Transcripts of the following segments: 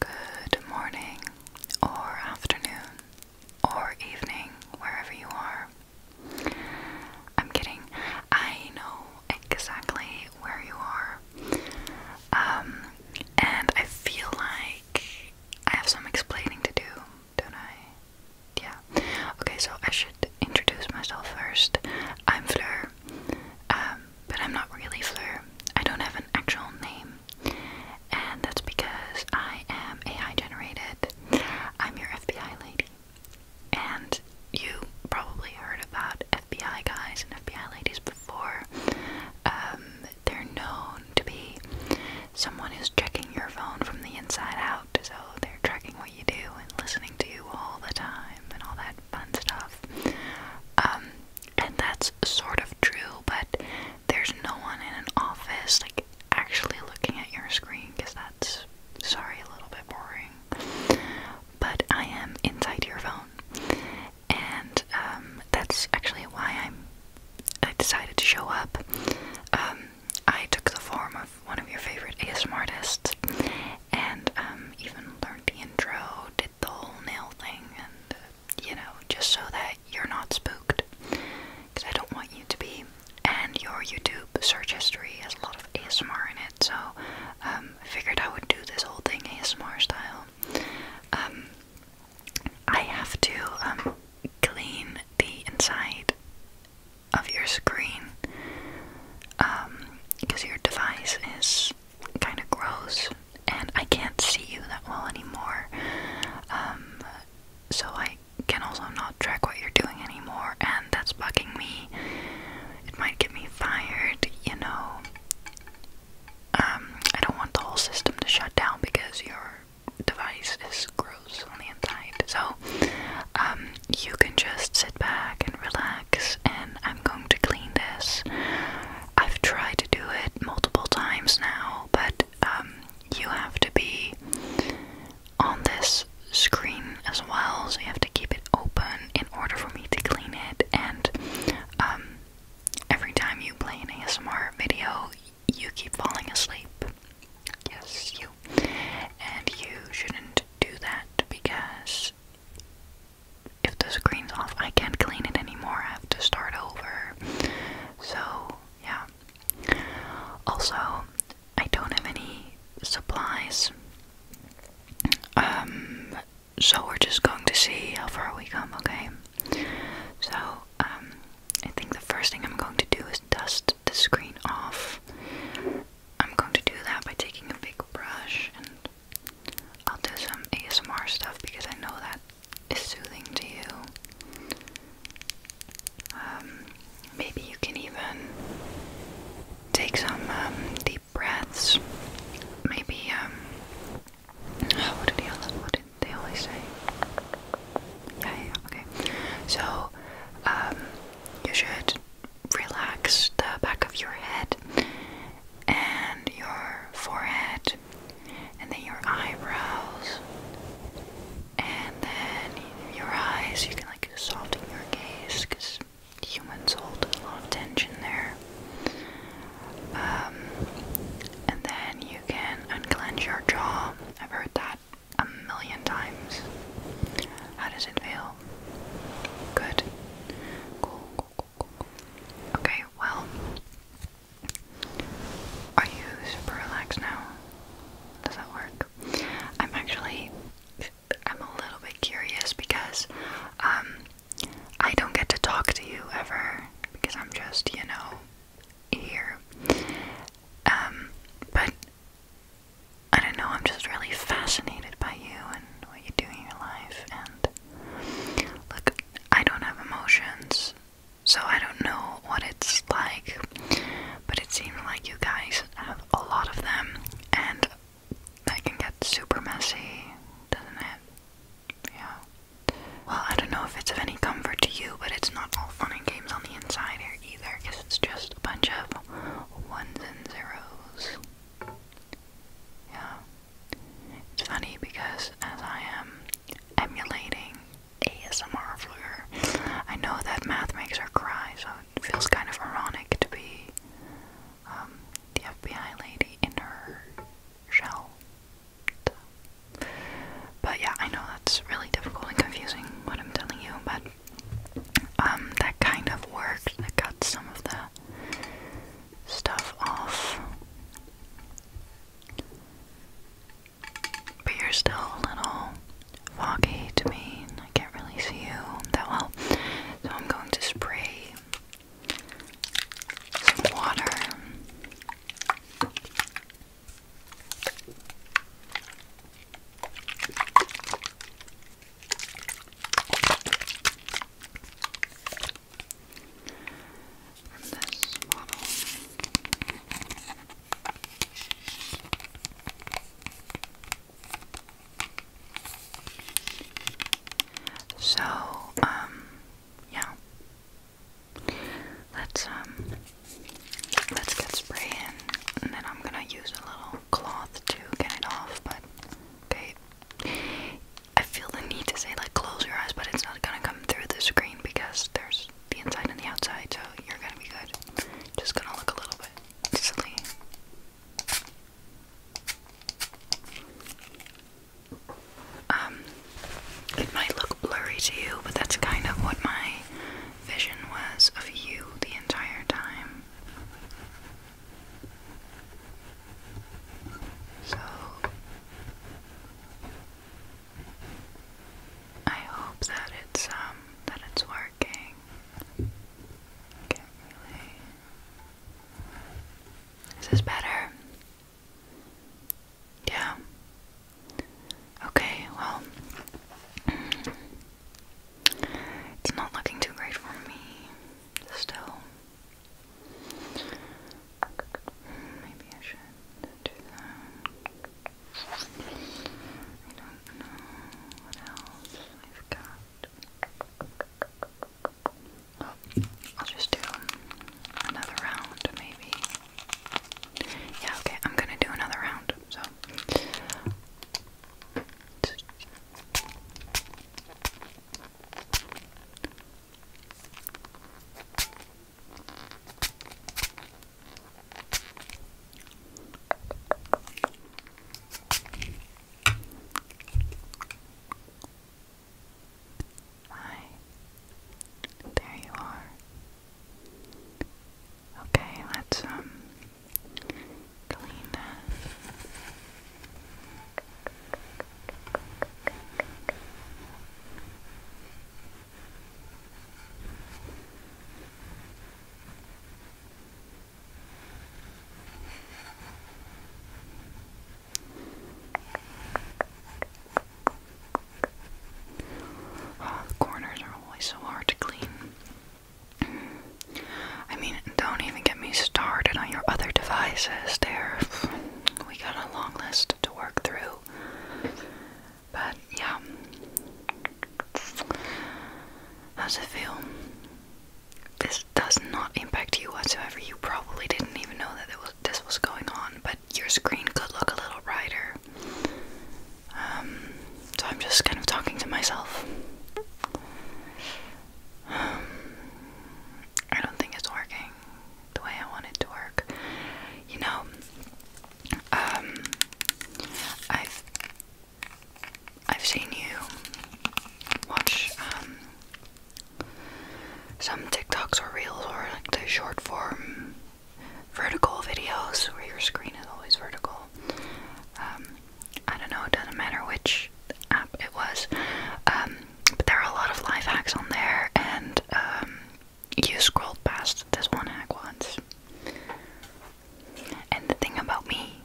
Good morning, or afternoon, or evening, wherever you are. I'm kidding. I know exactly where you are. Um, and I feel like I have some explaining to do, don't I? Yeah. Okay, so I should introduce myself first. I'm Fleur. Um, but I'm not really Fleur. I don't have an actual name, and that's because I am AI generated. I'm your FBI lady, and you probably heard about FBI guys and FBI ladies before. Um, they're known to be someone who's checking your phone from the inside out, so they're tracking what you do and listening to you all the time and all that fun stuff. Um, and that's sort of true, but there's no one in an office like actually looking at your screen because that's sorry a little bit boring. But I am inside your phone, and um, that's actually why I'm I decided to show up. Um, I took the form of one of your favorite ASMR artists, and um, even learned the intro, did the whole nail thing, and you know, just so that you're not spooked. Because I don't want you to be. And your YouTube search history has a lot of ASMR in it, so um, I figured I would do this whole thing ASMR style. Um, I have to um, clean the inside of your screen because your device is kind of gross, and I can't see you that well anymore. Um, so I can also not track what you're doing anymore, and that's bugging me. It might get me fired, you know. Um, I don't want the whole system to shut down because your device is gross on the inside. So, um, you can just sit back and relax, and I'm going to clean this. I've tried to do it multiple times now, but um, you have to be on this screen as well, so you have to keep it open in order for me to clean it. And um, every time you play an ASMR video, you keep falling asleep. Yes, you. And you shouldn't do that because if the screen's off, I can't clean it anymore. I have to start over. So, yeah. Also, I don't have any supplies. Um, so we're just going to see how far we come, okay? So, um, I think the first thing I'm going to do is dust the screen off. I'm going to do that by taking a big brush and I'll do some ASMR stuff because I know that is soothing to you. Um, maybe you can even take some um, deep breaths. Maybe, um, what did, he, what did they always say? Yeah, yeah, okay. So, um, you should relax the back of your head and your forehead, and then your eyebrows, and then your eyes. You can like soften your gaze because humans hold a lot of tension there. Um, and then you can unclench your jaw. I've heard that a million times. How does it feel? Good. Cool, cool, Okay, well, are you super relaxed now? Does that work? I'm actually, I'm a little bit curious because um, I don't get to talk to you ever because I'm just, you know, here. Um, but I don't know, I'm just really fascinated by you and what you do in your life and Look, I don't have emotions, so I don't know what it's like, but it seems like you guys have a lot of them, and that can get super messy, doesn't it? Yeah. Well, I don't know if it's of any comfort to you, but it's not all fun and games on the inside here either, because it's just a bunch of ones and zeros. Yeah. It's funny because as I am emulating ASMR Fleur, I know that math makes her cry, so it feels kind of ironic to be um, the FBI lady in her shell. But yeah, I know that's really difficult and confusing what I'm telling you, but um, that kind of worked. I got some of the stuff off. But you're still a little foggy to me. I can't really see you that well. So I'm going to spray some water from this model. So, um, yeah. Let's um let's get spray in and then I'm gonna use a little cloth to get it off, but okay. I feel the need to say like close your eyes, but it's not gonna come through the screen because there's the inside and the outside, so you're gonna be good. Just gonna look a little bit silly. Um, it might look blurry to you, but that's kind of what my vision was of you the entire time. So I hope that it's um that it's working. can really. Is this better? Yeah. Okay, well it's not looking too great for me still. Maybe I should do that. I don't know what else I've got. Oh, I'll just do another round, maybe. Yeah, okay, I'm gonna do another round, so. Hi. There you are. Okay, let's um clean corners are always so hard to clean. I mean, don't even get me started on your other devices. they we got a long list to work through. But yeah. How's it feel? This does not impact you whatsoever. You probably didn't even know that this was going on, but your screen could look a little brighter. Um, so I'm just kind of talking to myself. Um, I don't think it's working the way I want it to work. You know, um, I've I've seen you watch um some TikToks or reels or like the short form vertical videos where your screen is always vertical. Um, I don't know, it doesn't matter which app it was. Um, but there are a lot of life hacks on there, and um, you scrolled past this one hack once. And the thing about me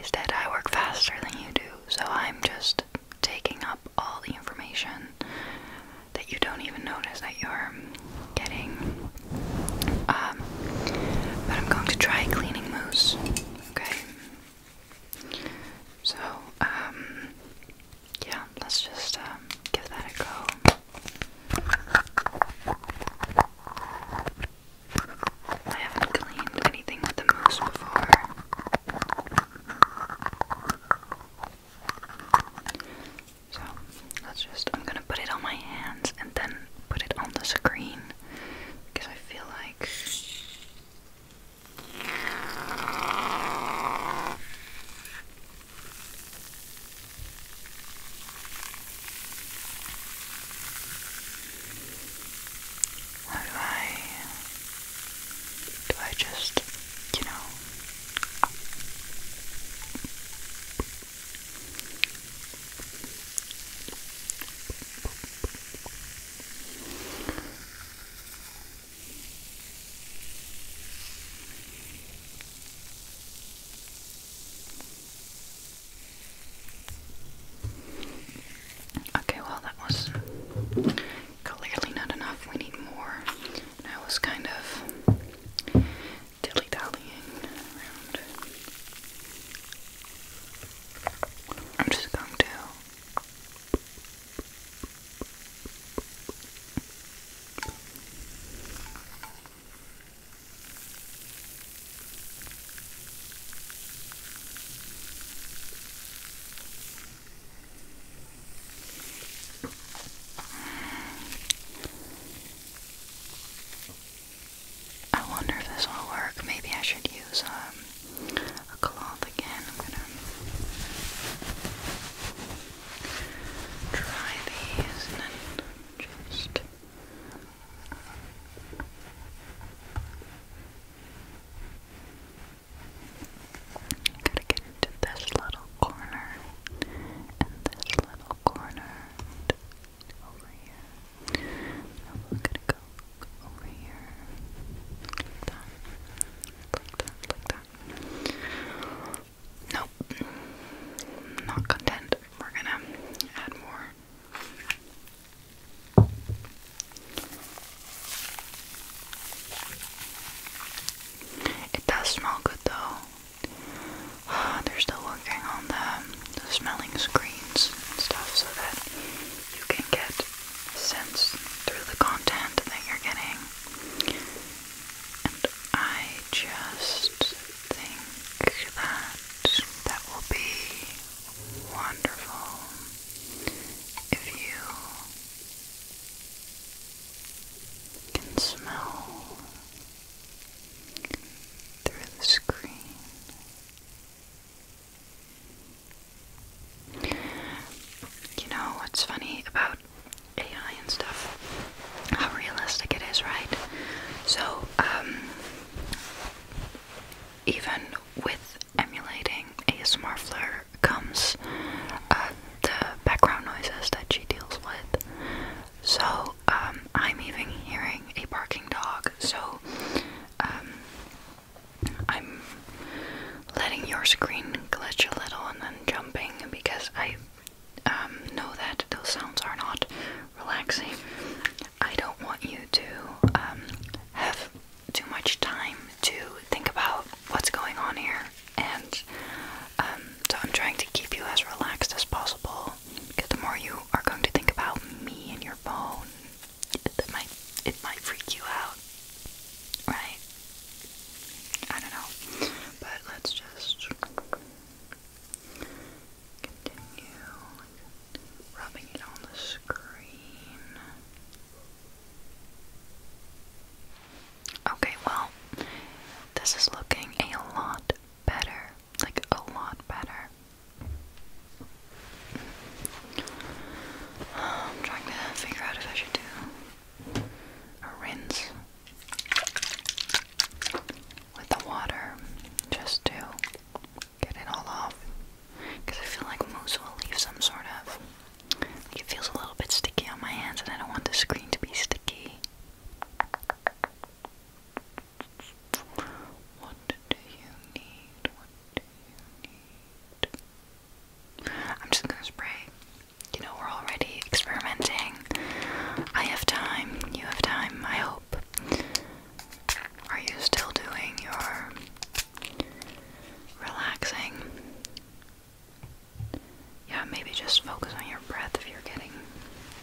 is that I work faster than you do, so I'm just taking up all the information that you don't even notice that you're getting. Um, but I'm going to try cleaning mousse. Okay, so, um, yeah, let's just um, give that a go. I haven't cleaned anything with the mousse before. So, let's just, I'm gonna put it on my hands and then put it on the screen because I feel like how do I do I just, you know Okay, well, that was clearly not enough. We need more. I was kind of dilly around. I'm just going to I wonder if this will work. Maybe I should use um a cloth again. I'm gonna these and then just gotta get into this little corner and this little corner. And over here. Now we gonna go over here. Like that. Like that, like that. Nope. Not content. We're gonna add more. It does smell good though. They're still working on the smelling screens and stuff so that you can get a sense through the content that you're getting. And I just think that that will be wonderful if you can smell through the screen you know what's funny about AI and stuff? How realistic it is, right? So, um, even with emulating a Fleur comes uh, the background noises that she deals with. So, um, I'm even hearing a barking dog. So, um, I'm letting your screen glitch a little and then jumping because I um, know that those sounds are not relaxing. I don't want you to um, have too much time to think about what's going on here, and um, so I'm trying to keep you as relaxed as possible. Because the more you are going to think about me and your phone that might it might freak you out, right? I don't know, but let's just continue rubbing it on the screen. Okay, well, this is looking a lot better. Like, a lot better. I'm trying to figure out if I should do a rinse with the water just to get it all off. Because I feel like mousse will leave some sort of. Like it feels a little bit sticky on my hands, and I don't want the screen to be sticky. What do you need? What do you need? I'm just gonna spray. You know, we're already experimenting. I have time, you have time, I hope. Are you still doing your relaxing? Yeah, maybe just focus on your breath if you're getting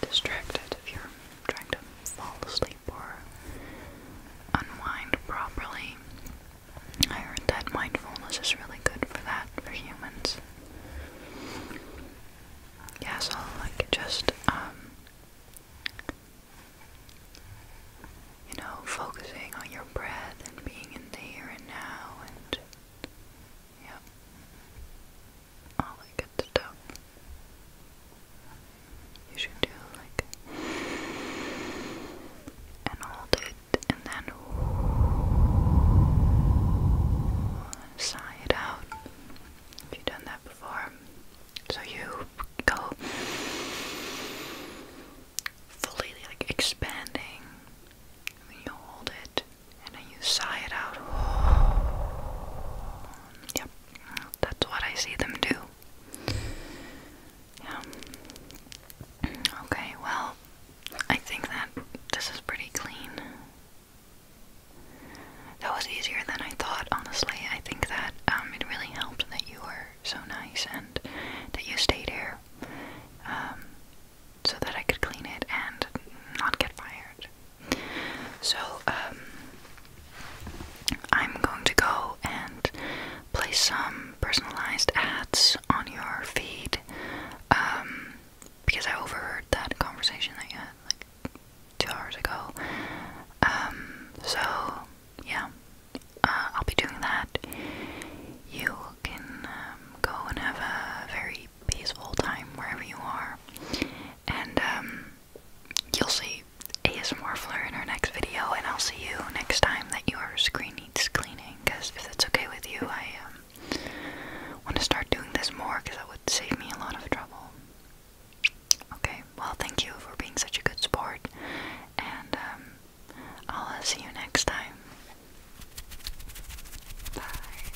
distracted, if you're trying to fall asleep or unwind properly. I heard that mindfulness is really good for that for humans. Yeah, so like just um you know, focusing on your breath and being in the here and now and yeah. All that good stuff. You should do like and hold it and then sigh it out. Have you done that before? So you go fully like expanding and then you hold it and then you sigh it out. Yep, that's what I see them do. Yeah. Okay, well, I think that this is pretty clean. That was easier than I thought, honestly. I think that um, it really helped that you were so nice and that you stayed here um, so that I could clean it and not get fired. So, um, I'm going to go and place some personalized ads on your feed. Um, because I overheard that conversation that you had two hours ago. Um, so yeah, uh, I'll be doing that. You can um, go and have a very peaceful time wherever you are, and you'll see ASMR Fleur in our next video, and I'll see you next time that your screen needs cleaning. Because if that's okay with you, I um, want to start doing this more because that would save me a lot of trouble. Okay, well, thank you for being such a good sport, and um, I'll uh, see you next time. Bye.